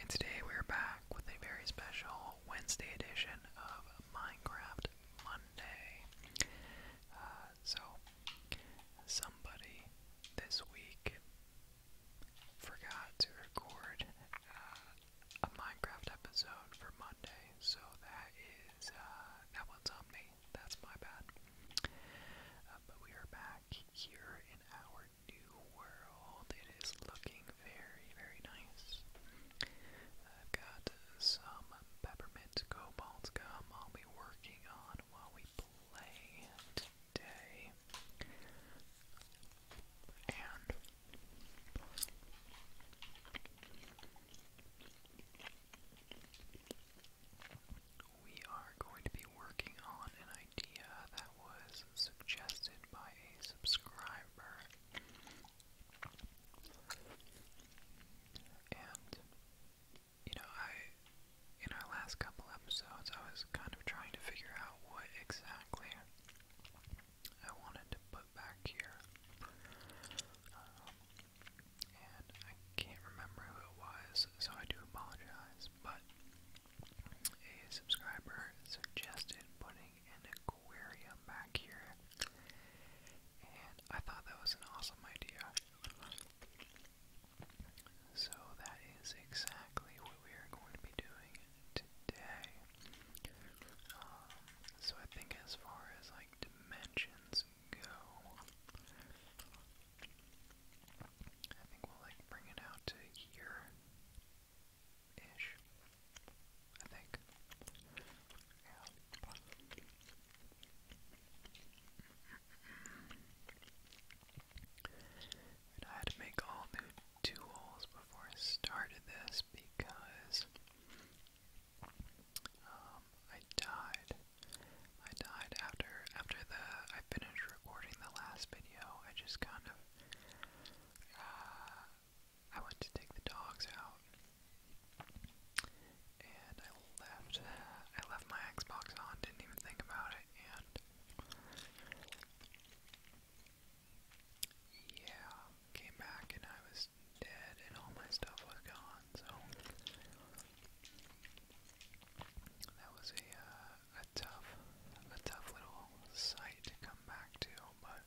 And today we're back with a very special Wednesday edition of Minecraft Monday. Uh, so, somebody this week forgot to record uh, a Minecraft episode for Monday, so that is, uh, that one's on me. That's my bad. but we are back here in our new world. It is looking very, very nice. I've got some peppermint cobalt gum I'll be working on while we play today. And we are going to be working on an idea that was suggested by a subscriber. And, you know, I, in our last couple episodes, I was kind of trying to figure out what exactly I wanted to put back here. Um, and I can't remember who it was, so I do apologize, but a subscriber suggested putting an aquarium back here, and I thought that was an awesome idea. So that is exactly what we are going to be doing today. Um, so I think as far as like dimensions go, I think we'll like bring it out to here ish. I think. I had to make all new tools before I started this because um, I died I died after after the I finished recording the last video. I just kind of uh, I went to take the dogs out, and I left I left my Xbox on. Didn't even think about it, and yeah, came back and I was dead, and all my stuff was gone. So. That was a uh, a tough, a tough little site to come back to, but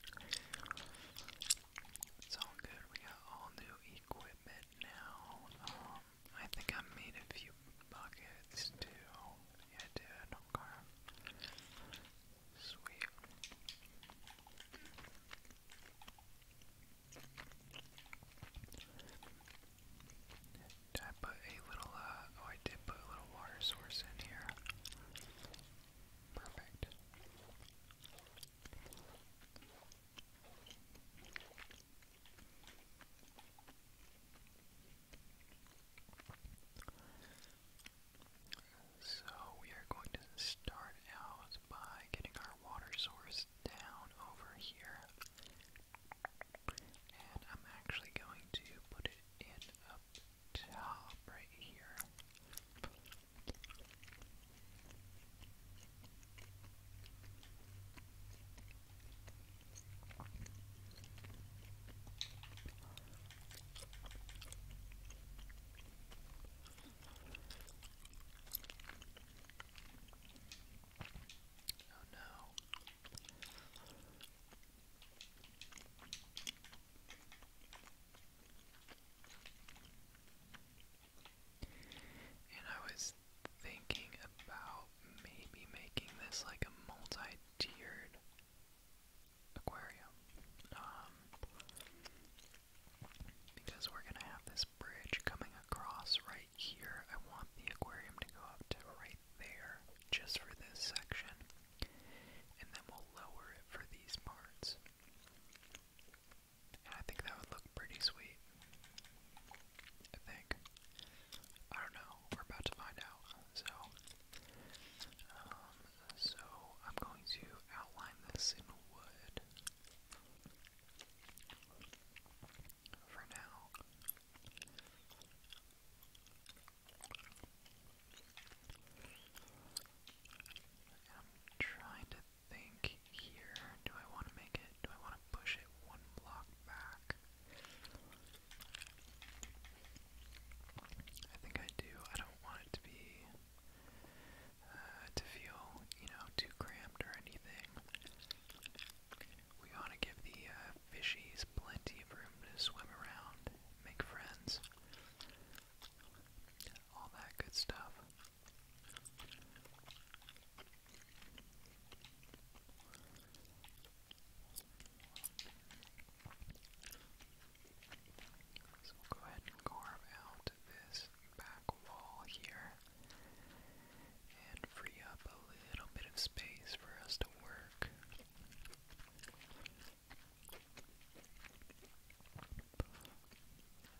it's all good. We got all new equipment now. Um, I think I made a few buckets too. Yeah, I did. Okay. Sweet. I put a little, uh, oh, I did put a little water source in here. Perfect. So we are going to start out by getting our water source down over here. And I'm actually going to put it in up top right here. Oh no. And I was thinking about maybe making this like a multi-tiered aquarium. Um, because we're gonna have this bridge coming across right here. I want the aquarium to go up to right there just for this section. And then we'll lower it for these parts. I think that would look pretty sweet. I think. I don't know. We're about to find out. So, um, so I'm going to outline this in wood for now. I'm trying to think here. Do I want to make it? Do I want to push it one block back? I think I do. I don't want it to be uh, to feel, you know, too cramped or anything. We ought to give the uh, fishies plenty of room to swim around, make friends, all that good stuff. So we'll go ahead and carve out this back wall here and free up a little bit of space for us to work.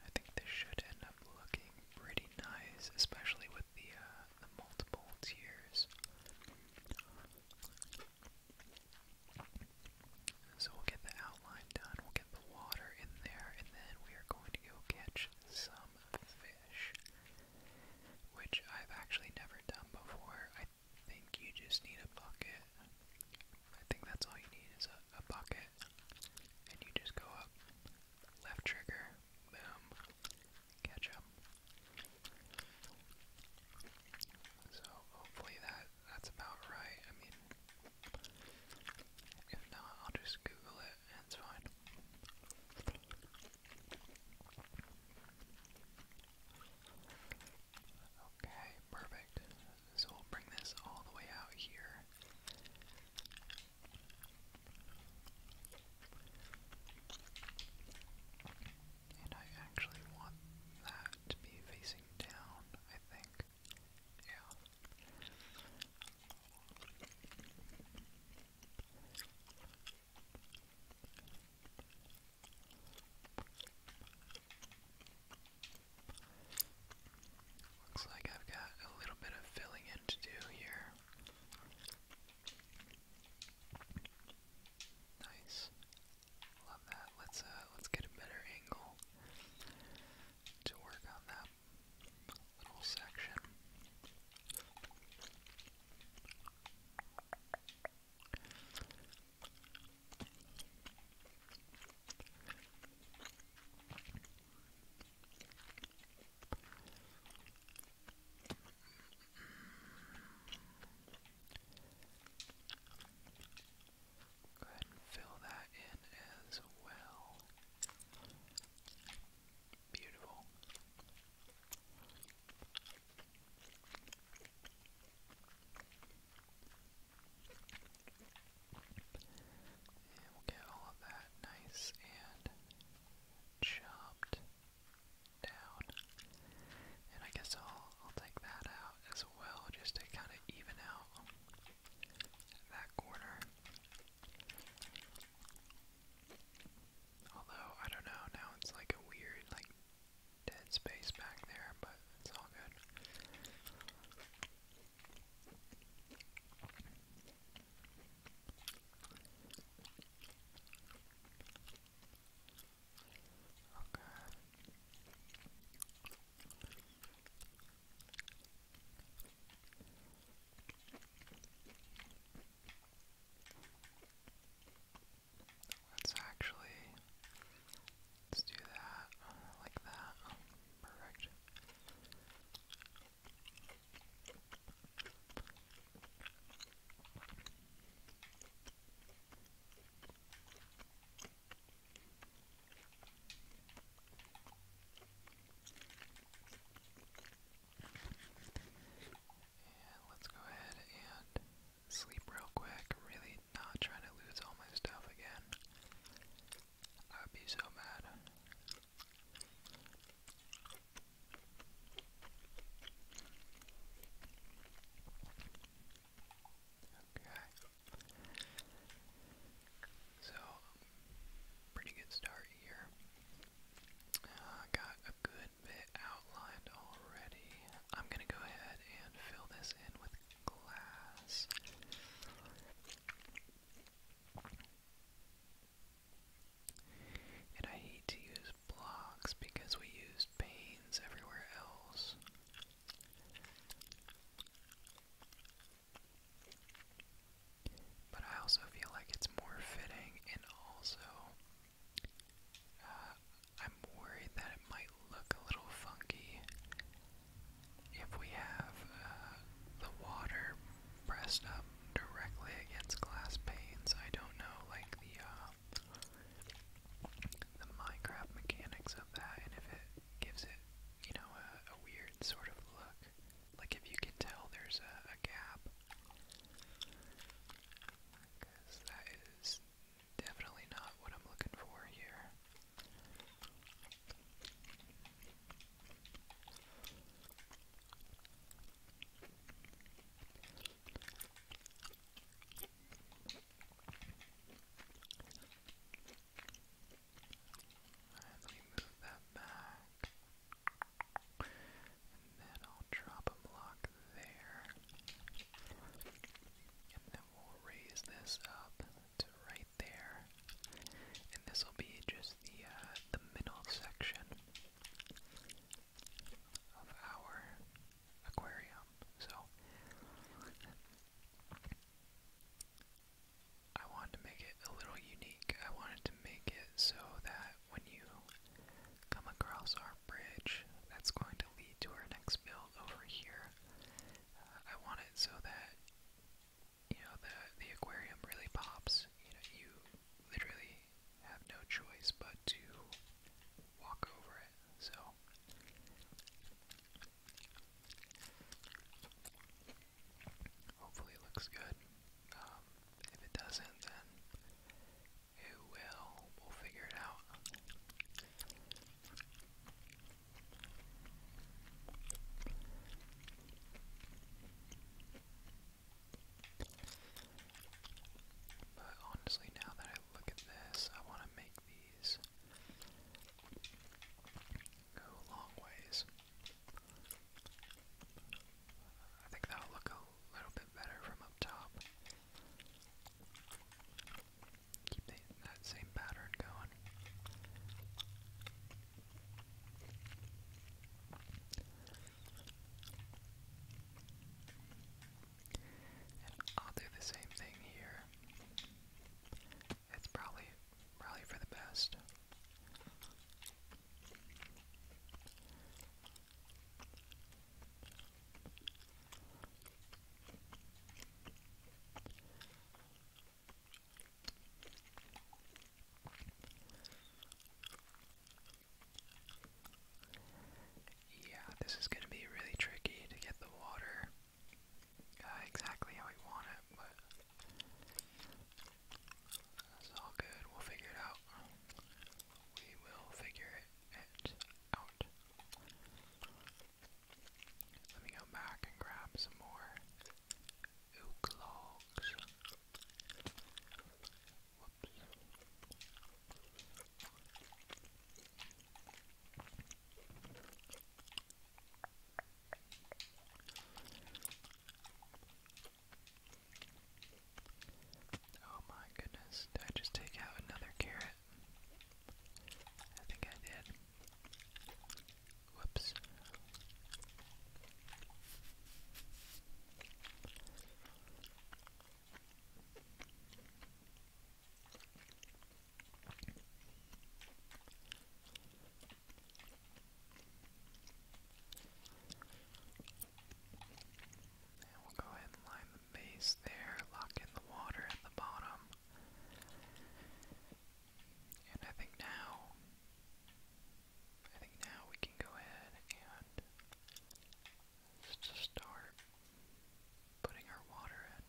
I think this should end up looking pretty nice, especially with the, uh, the multiple tiers. So we'll get the outline done, we'll get the water in there, and then we are going to go catch some fish which I've actually never done before. I think you just need a bucket. I think that's all you need is a, bucket, and you just go up, left trigger, boom, catch up. So hopefully that that's about right. I mean, if not, I'll just Google it. That's fine. Okay, perfect. So we'll bring this all the way out here. And I actually want that to be facing down, I think. Yeah. Looks like I've got a little bit of filling in to do here. Nice. Love that. Let's uh let's get a better angle to work on that little section. Go ahead and fill that in as well. Beautiful. And we'll get all of that nice and chopped down. And I guess I'll I'll take that out as well just to kind of even out that corner. Although, I don't know, now it's like a weird, like, dead space back there, but it's all good. Okay. Let's actually let's do that like that. perfect. And let's go ahead and sleep real quick. I'm really not trying to lose all my stuff again. I would be so mad. Okay. So, pretty good start here. I got a good bit outlined already. I'm gonna go ahead and fill this in with glass. And I hate to use blocks because we used panes everywhere else. But I also feel like it's more fitting, and also uh, I'm worried that it might look a little funky if we have uh, the water pressed up directly against glass panes. I don't know, like the uh, the Minecraft mechanics of that, and if it gives it, you know, a, a weird sort of look. Like if you can tell there's a, gap. Because that is definitely not what I'm looking for here. let me move that back. And then I'll drop a block there. And then we'll raise this up right there. And this will be just the uh, the middle section of our aquarium. So I wanted to make it a little unique. I wanted to make it so that when you come across our bridge that's going to lead to our next build over here, uh, I want it so that you know the the aquarium really pops. You know you literally have no choice but to walk over it. So Hopefully it looks good. Um, if it doesn't, then it will. We'll figure it out. But honestly, now that I look at this, I want to make these go long ways. I think that'll look a little bit better from up top. Keep that same pattern going. I'll do the same thing here. It's probably probably for the best. Yeah, this is going to be really tricky to get the water uh, exactly how we want it, that's all good. We'll figure it out. We will figure it out. Let me go back and grab some more oak Oh my goodness, did I just take out another carrot? I think I did. Whoops we'll go ahead and line the base there, lock in the water at the bottom. And I think now, I think now we can go ahead and start putting our water in.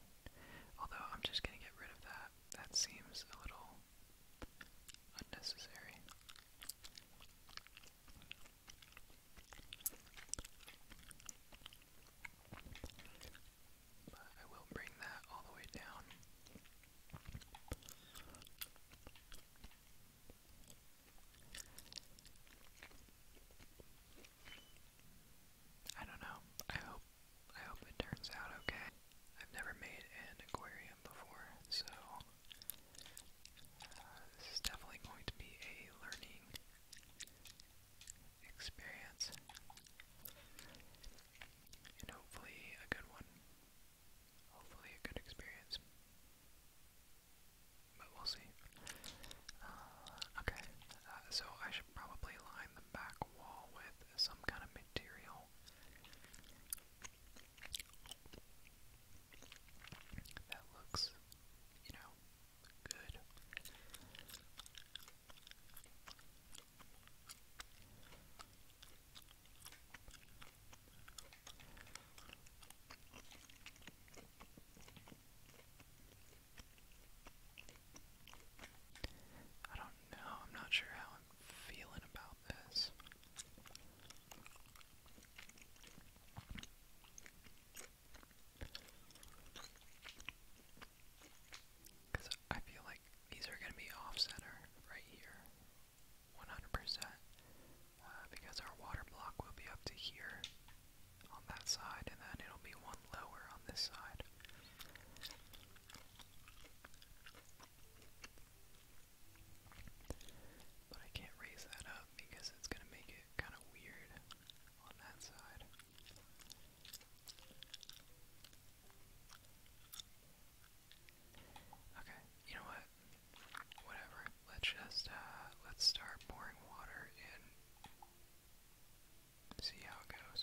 Although I'm just gonna get rid of that. That seems a little Unnecessary. But I will bring that all the way down. I don't know. I hope I hope it turns out okay. I've never made an aquarium before, so uh, this is definitely going to be a learning experience. And hopefully a good one. Hopefully a good experience. But we'll see. Uh, okay, uh, so I should probably line the back wall with some kind of material. That looks, you know, good. I don't know, I'm not sure how feeling about this. Because I feel like these are going to be off center right here, 100%. Uh, because our water block will be up to here on that side, and then it'll be one lower on this side. But I can't raise that up because it's going to make it kind of weird on that side. Okay, you know what? Whatever. Let's just, uh, let's start pouring water in. See how it goes.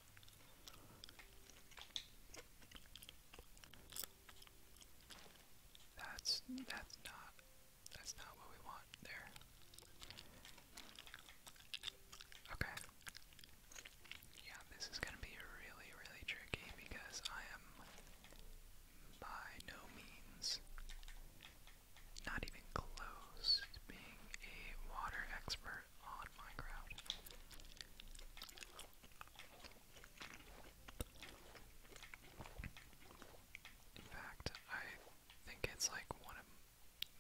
That's that's not that's not what we want there. Okay. Yeah, this is gonna be really, really tricky because I am by no means not even close to being a water expert player on Minecraft. In fact, I think it's like one of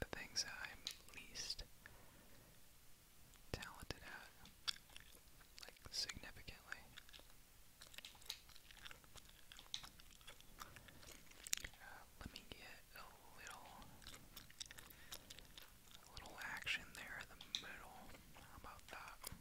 the things that I'm least talented at, like significantly. Uh, let me get a little a little action there in the middle. How about that?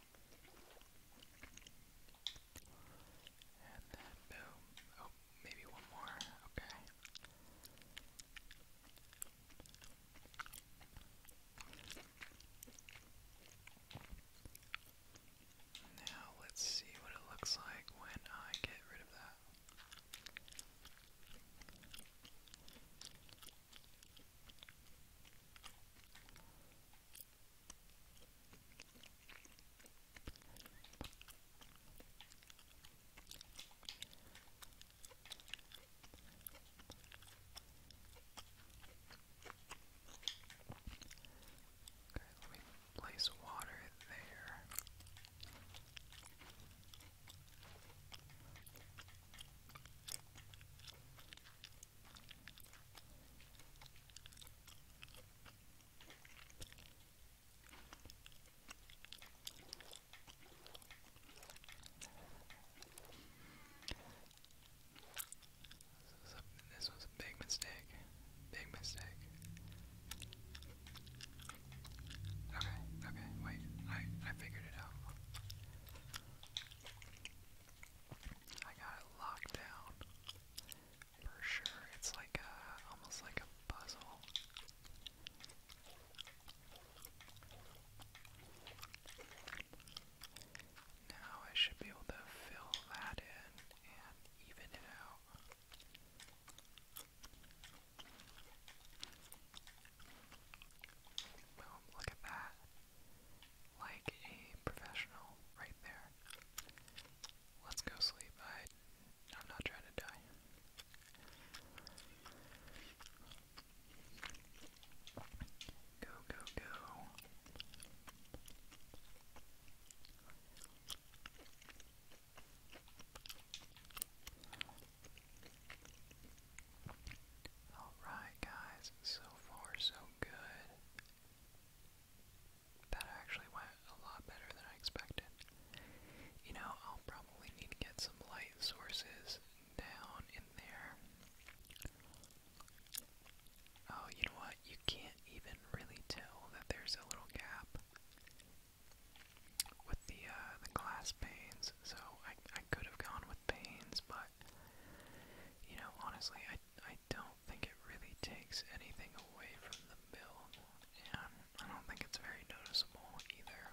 And then boom. Oh, maybe one more. Okay. Now let's see what it looks like when I get rid of that. Okay, let me place water there. This was a, big mistake. Big mistake. Okay, okay, wait. I I figured it out. I got it locked down for sure. It's like a, almost like a puzzle. Now I should be able to fill that in and even it out. Boom, look at that like a professional right there. Let's go sleep. I, I'm not trying to die. Go, go, go. Alright, guys, so far so good. That actually went a lot better than I expected. You know, I'll probably need to get some light sources down in there. Oh, you know what? You can't even really tell that there's a little gap with the uh, the glass panes. So I I could have gone with panes, but you know, honestly, I I don't think it really takes anything away from the bill, and I don't think it's very noticeable either.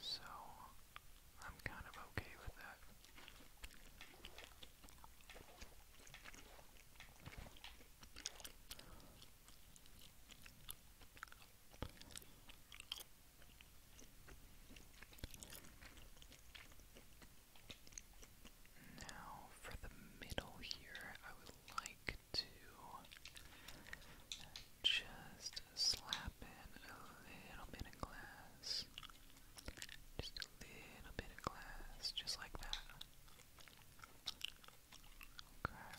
So, I'm kind of okay with that. Now, for the middle here, I would like to just slap in a little bit of glass. Just a little bit of glass, just like that. Okay.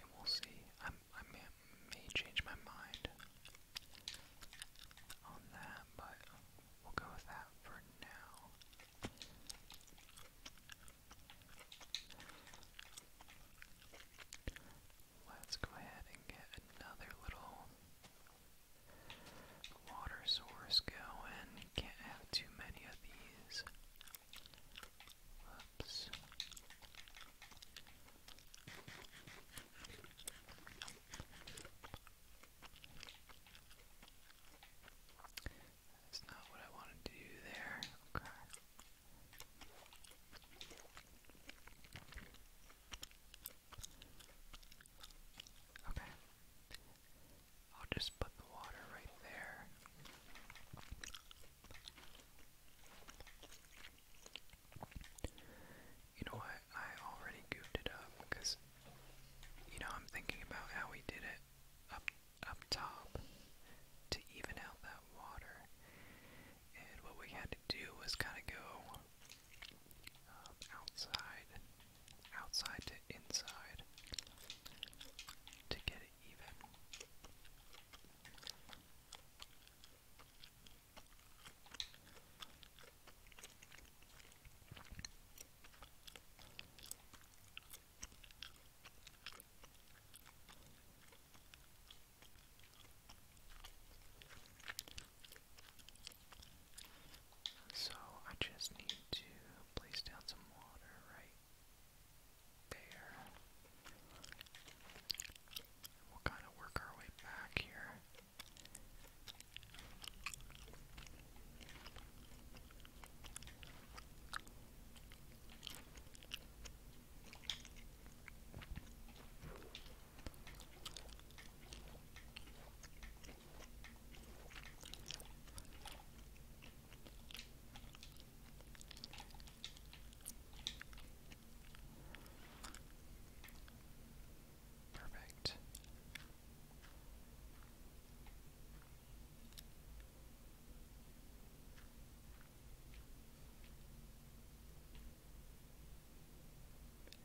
And we'll see. I'm I may, change my mind on that, but we'll go with that for now. Let's go ahead and get another little water source going. Can't have too many of these. Oops. That's not what I wanted to do there. Okay. Okay. I'll just put the water right there. You know what? I already goofed it up because, you know, I'm thinking about how we did it up up top to even out that water, and what we had to do was kind of go um, outside, outside to inside to get it even. So I just need to place down some water right there. We'll kind of work our way back here. Perfect.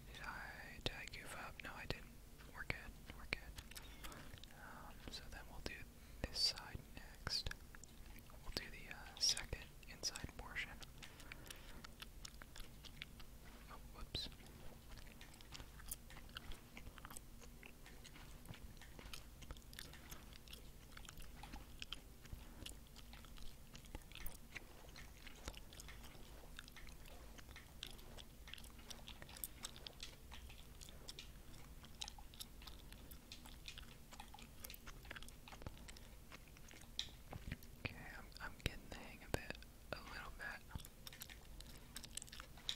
Did I did I goof up? No, I didn't. We're good. We're good. Um, so then we'll do this side next. We'll do the uh, second inside portion. Oh, whoops. Okay, I'm, I'm getting the hang of it a little bit.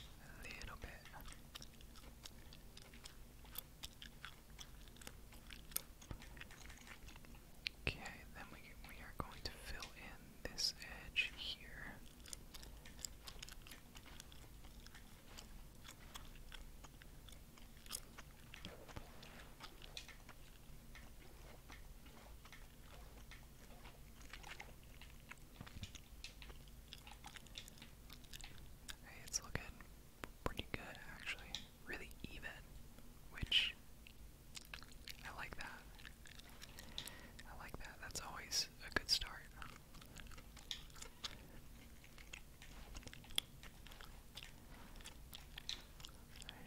A little bit. Okay, then we we are going to fill in this edge here. Hey, it's looking pretty good actually. Really even, which I like that. I like that. That's always a good start.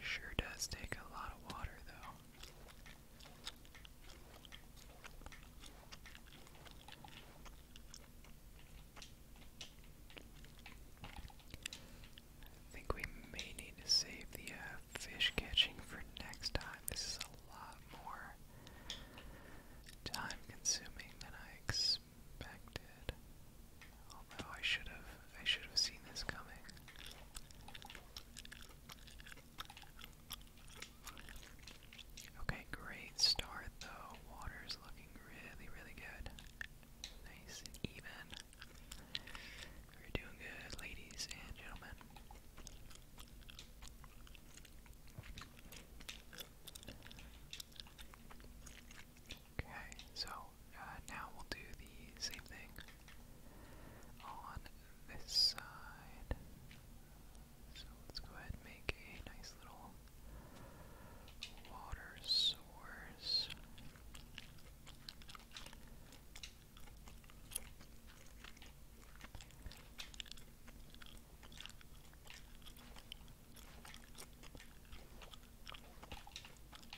It sure does take a lot of water, though. I think we may need to save the uh, fish catching for next time. This is a lot more time consuming than I expected expected. Although I should have I should have seen this coming. Okay, great start though. Water's looking really, really good. Nice and even. We're doing good, ladies and gentlemen. Okay, so uh, now we'll do the same thing on this side. So let's go ahead and make a nice little water source.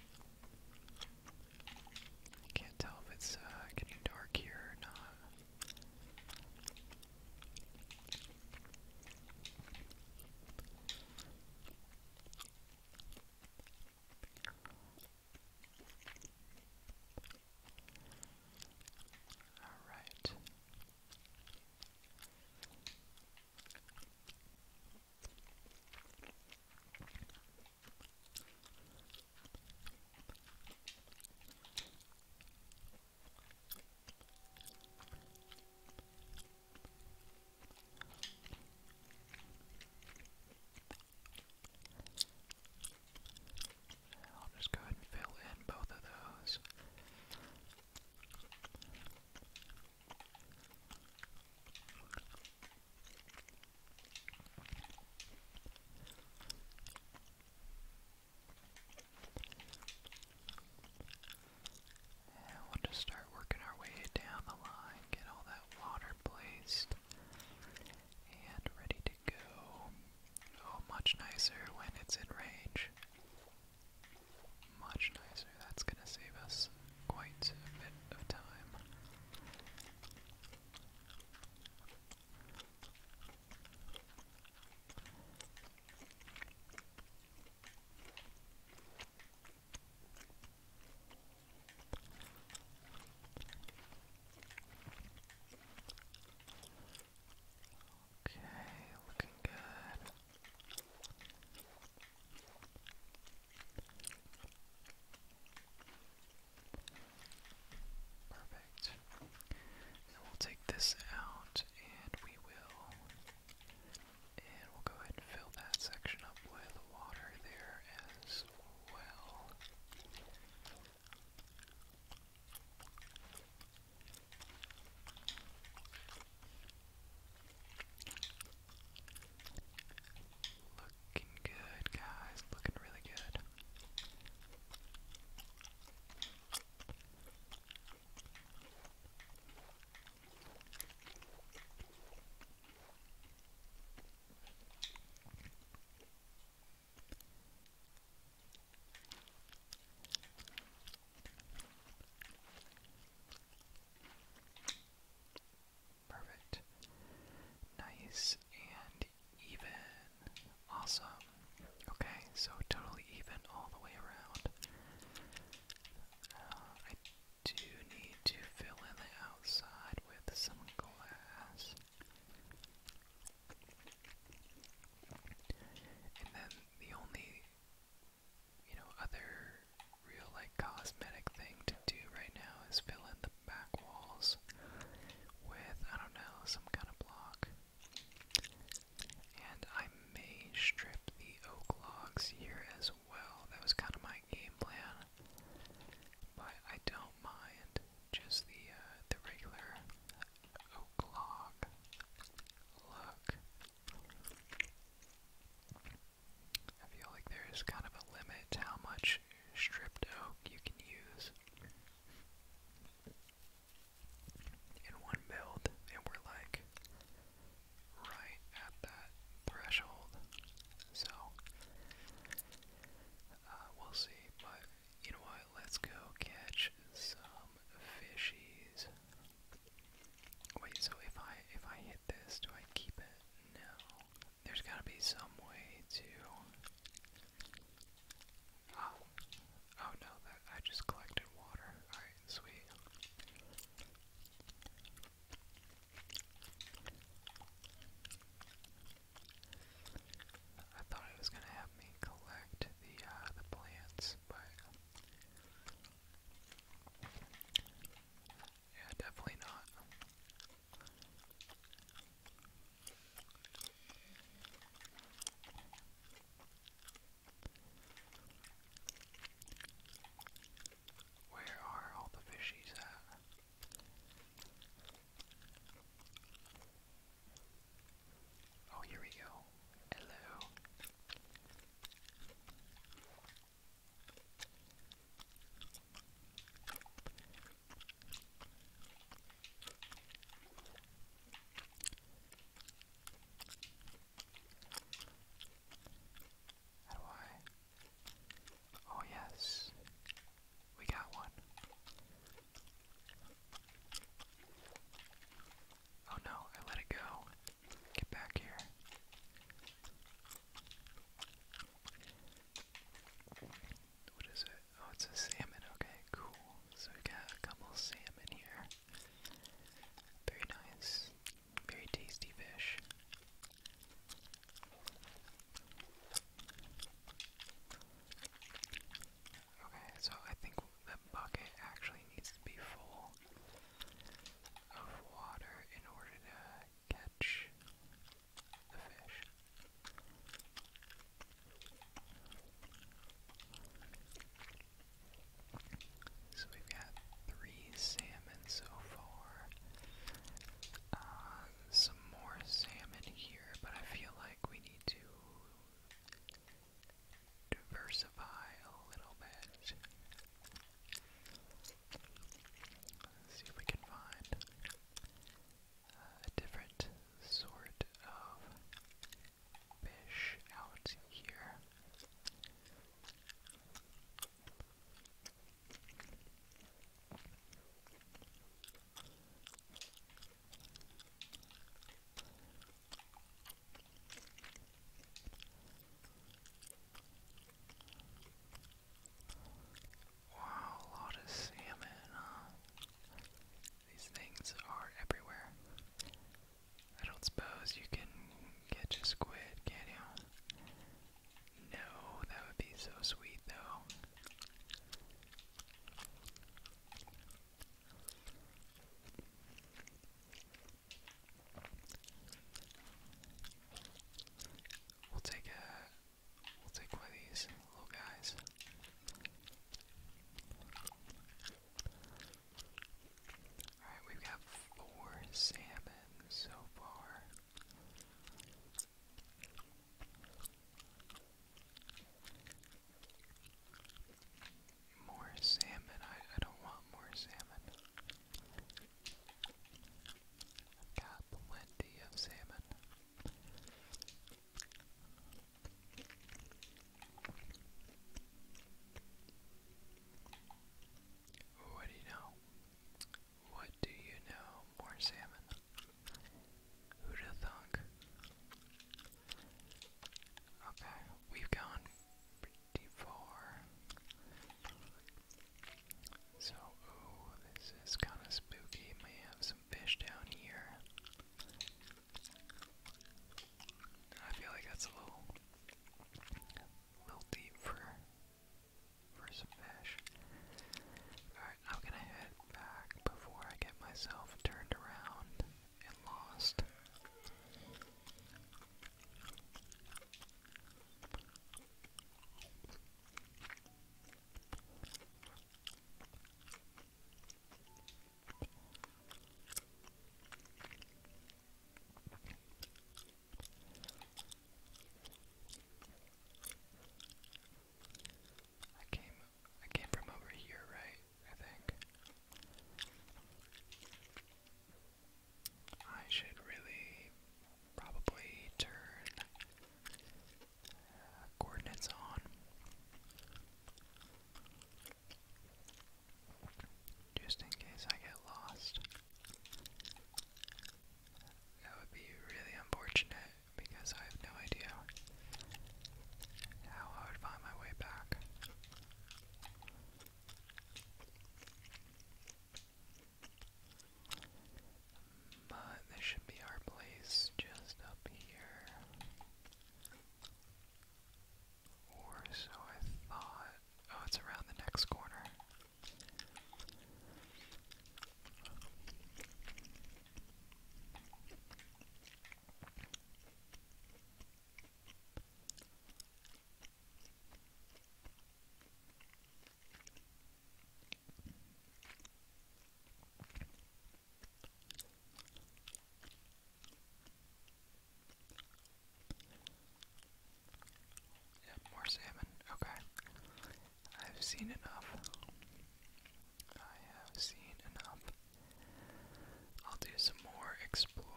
I can't tell if it's uh, getting dark here or not. All right. I'll just go ahead and fill in both of those. And we'll just start working our way down the line, get all that water placed and ready to go. Oh, much nicer when it's in much nicer. That's going to save us quite a bit of time. Okay, looking good. Perfect. we'll take this out and we will. And we'll go ahead and fill that section up with water there as well. Looking good, guys. Looking really good. Perfect. Nice and even. Awesome. Okay, so totally even all the way around. Uh, I do need to fill in the outside with some glass. And then the only you know, other real like cosmetic thing to do right now is fill in the back walls with, I don't know, some kind of block. And I may strip the oak logs here as well. That was kind of my game plan. But I don't mind just the uh, the regular oak log look. I feel like there is kind of a limit to how much stripped oak you can use in one build, and we're like right at that threshold. So uh, we'll see, but you know what? Let's go catch some fishies. Wait, so if I if I hit this, do I keep it? No. There's gotta be some way to Oh. Oh no, that I just collected water. Alright, sweet. I thought it was gonna have me collect the uh, the plants, but yeah, definitely not. Where are all the fishies at? Oh, here we go. Hello. How do Oh, yes, we got one. Oh no, I let it go. Get back here. What is it? Oh, it's a salmon. Okay, cool. So we got a couple salmon here. Very nice. Very tasty fish. Okay, so I think that bucket actually needs to be full of water in order to catch the fish. So we've got three salmon so far. Uh, some more salmon here, but I feel like we need to diversify a little bit. Let's see if we can find uh, a different sort of fish out here. Wow, a lot of salmon, These things are everywhere. I don't suppose you can catch a squid, can you? No, that would be so sweet though. We'll take a we'll take one of these little guys. Alright, we've got four salmon so far. More salmon. I, I don't want more salmon. I've got plenty of salmon. What do you know? What do you know? More salmon. Who'da thunk? Okay, we've gone pretty far. So, this is kind of spooky. May have some fish down here. I feel like that's a little, little deep for, for some fish. Alright, I'm gonna head back before I get myself turned around and lost. I came I came from over here, right? I think. I should really probably turn uh, coordinates on. Just in case I get lost. That would be really unfortunate because I have no idea how I would find my way back. But this should be our place just up here. Or so I thought. Oh, it's around the next corner. Yep, more salmon. Okay. I've seen enough. I have seen enough. I'll do some more exploring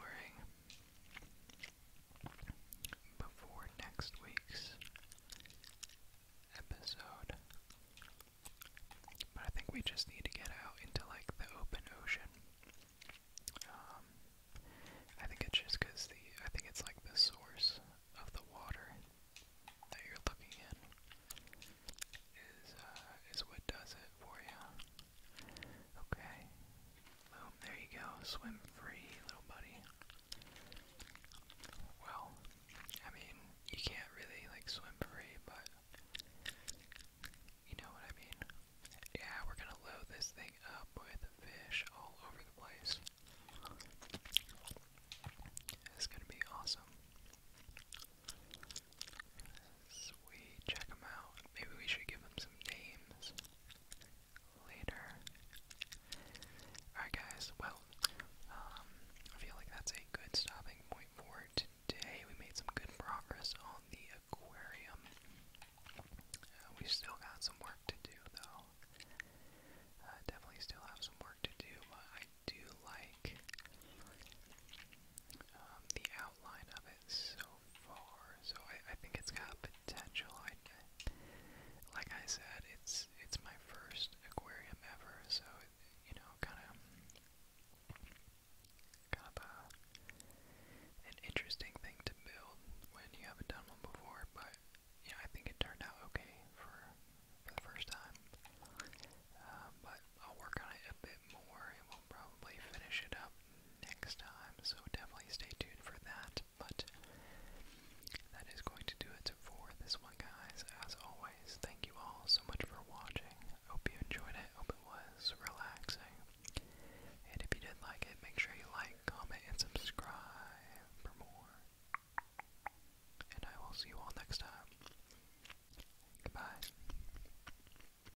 before next week's episode. But I think we just need to get out into like the open ocean. Um, I think it's just because the I think it's like the source of the water that you're looking in is uh, is what does it for you. Okay. Boom, there you go. Swim free, little buddy. Well, I mean, you can't really, like, swim free, but you know what I mean. Yeah, we're gonna load this thing up with fish all over the place. It's gonna be awesome. Sweet, check them out. Maybe we should give them some names later. Alright, guys, well, um, I feel like that's a good stopping point for today. We made some good progress on the aquarium. Uh, we still got some work to do, though. Uh, definitely still have some work to do, but I do like um, the outline of it so far, so I, I think it's got potential. I, like I said, it's it's my first aquarium ever, so it, you know, kind of kind of a, an interesting thing to build when you haven't done one before. But you know, I think it turned out okay for for the first time. Uh, but I'll work on it a bit more, and we'll probably finish it up next time, so definitely stay tuned for that. But that is going to do it for this one, guys. As always, thank you all so much for watching. Hope you enjoyed it. Hope it was relaxing. And if you did like it, make sure you like, comment, and subscribe for more. And I will see you all next time. Goodbye.